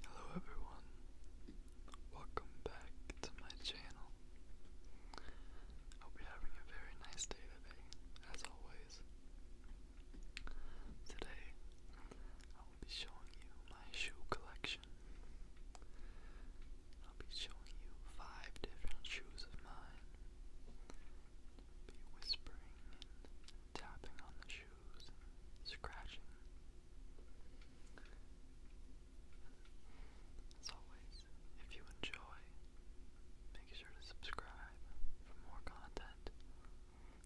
Hello everyone, welcome back to my channel. I hope you're having a very nice day today, as always. Today, I will be showing you my shoe collection. I'll be showing you five different shoes of mine. be whispering and tapping on the shoes shoes scratching. As always, if you enjoy, make sure to subscribe for more content.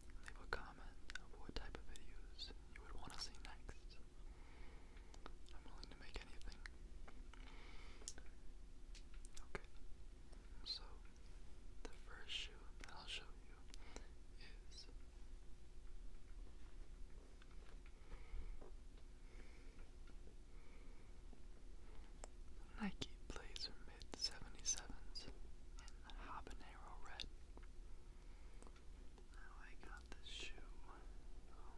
Leave a comment of what type of videos you would want to see next. I'm willing to make anything. Okay, so the first shoe that I'll show you is Nike Blazer Mid 77s in habanero red. Now I got this shoe um,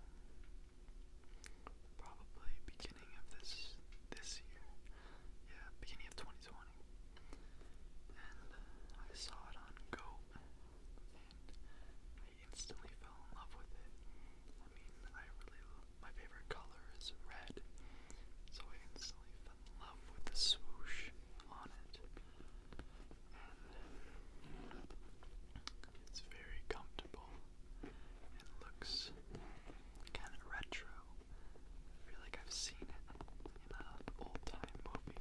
probably beginning of this this year. Yeah, beginning of 2020 and uh, I saw it on Goat, and I instantly fell in love with it. I mean, I really my favorite color is red, so I instantly fell in love with the swoosh on it, and it's very comfortable and looks kind of retro. I feel like I've seen it in an old time movie.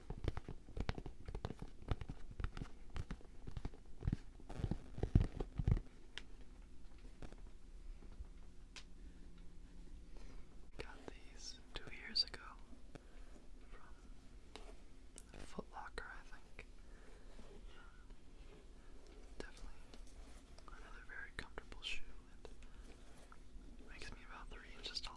Got these two years ago from Foot Locker, I think. Definitely another very comfortable shoe. It makes me about three inches taller.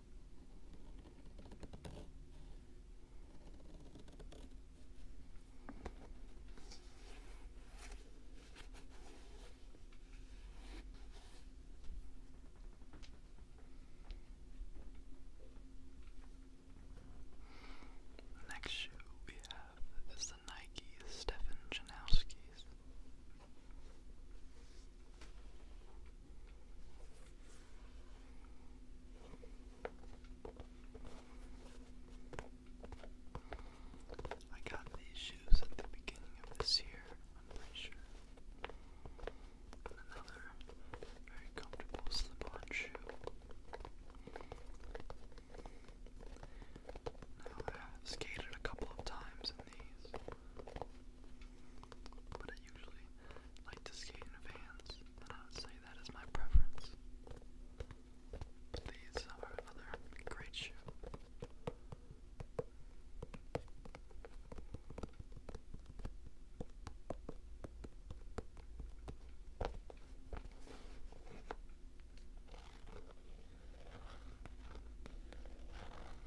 Next shoe we have is the Nike Stefan Janowski's. I got these shoes at the beginning of this year, I'm pretty sure. another very comfortable slip on shoe. Now, i skated a couple of times in these. But I usually like to skate in Vans, and I would say that is my preference. But these are another great shoe.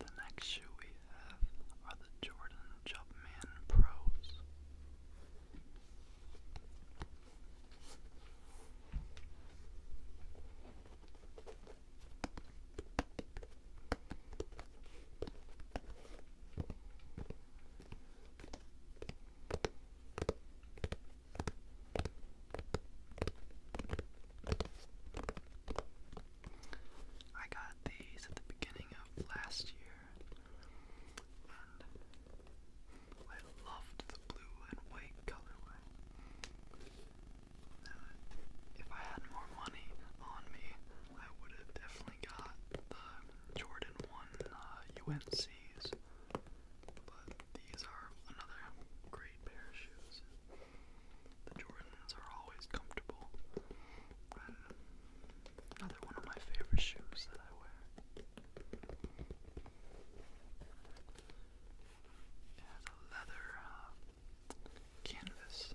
The next shoe we have are the Jordan Jumpman Pros. I got these at the beginning of last year, and I loved the blue and white colorway. if I had more money on me, I would have definitely got the Jordan 1 UNCs. Uh, but these are another great pair of shoes. The Jordans are always comfortable. Uh, another one of my favorite shoes that I wear. It has a leather uh, canvas.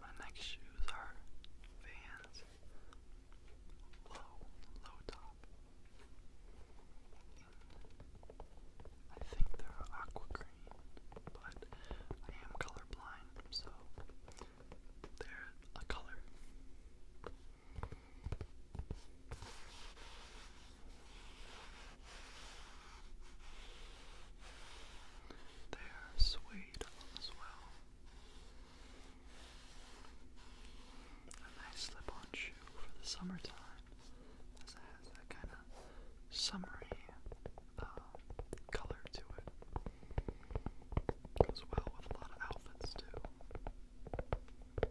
My next shoes are Vans Low, low top. I think they're aqua green, but I am colorblind, so they're a color. They are suede as well. A nice slip-on shoe for the summertime, as it has that kind of summery um, color to it. Goes well with a lot of outfits too.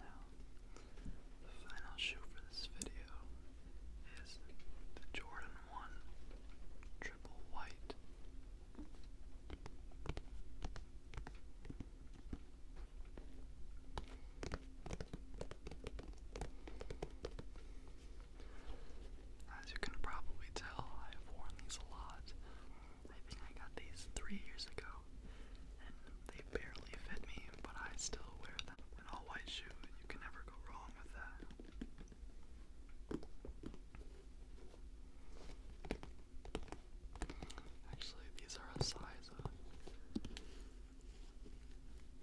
Now, the final shoe for this video is the Jordan 1 Triple White. As you can probably tell, I have worn these a lot. I think I got these three years ago, and they barely fit me, but I still wear them. An all white shoe, you can never go wrong with that. Actually, these are a size uh,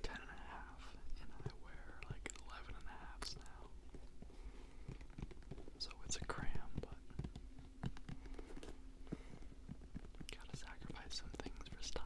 ten and a half, and I wear like eleven and a halfs now. So it's a cram, but gotta sacrifice some things for style.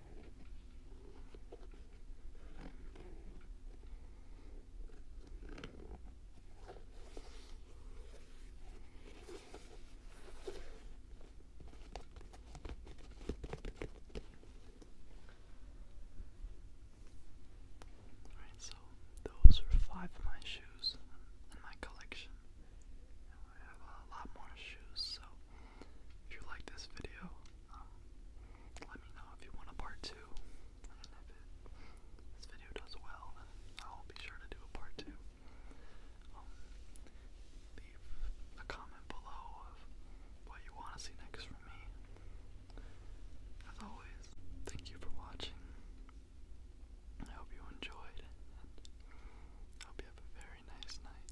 Alright, so those are five of my shoes in my collection. And we have a lot more shoes, so if you like this video, um, let me know if you want a part two. And if this video does well, I'll be sure to do a part two. Um, leave a comment below of what you want to see next from me. As always, thank you for watching. I hope you enjoyed, I hope you have a very nice night.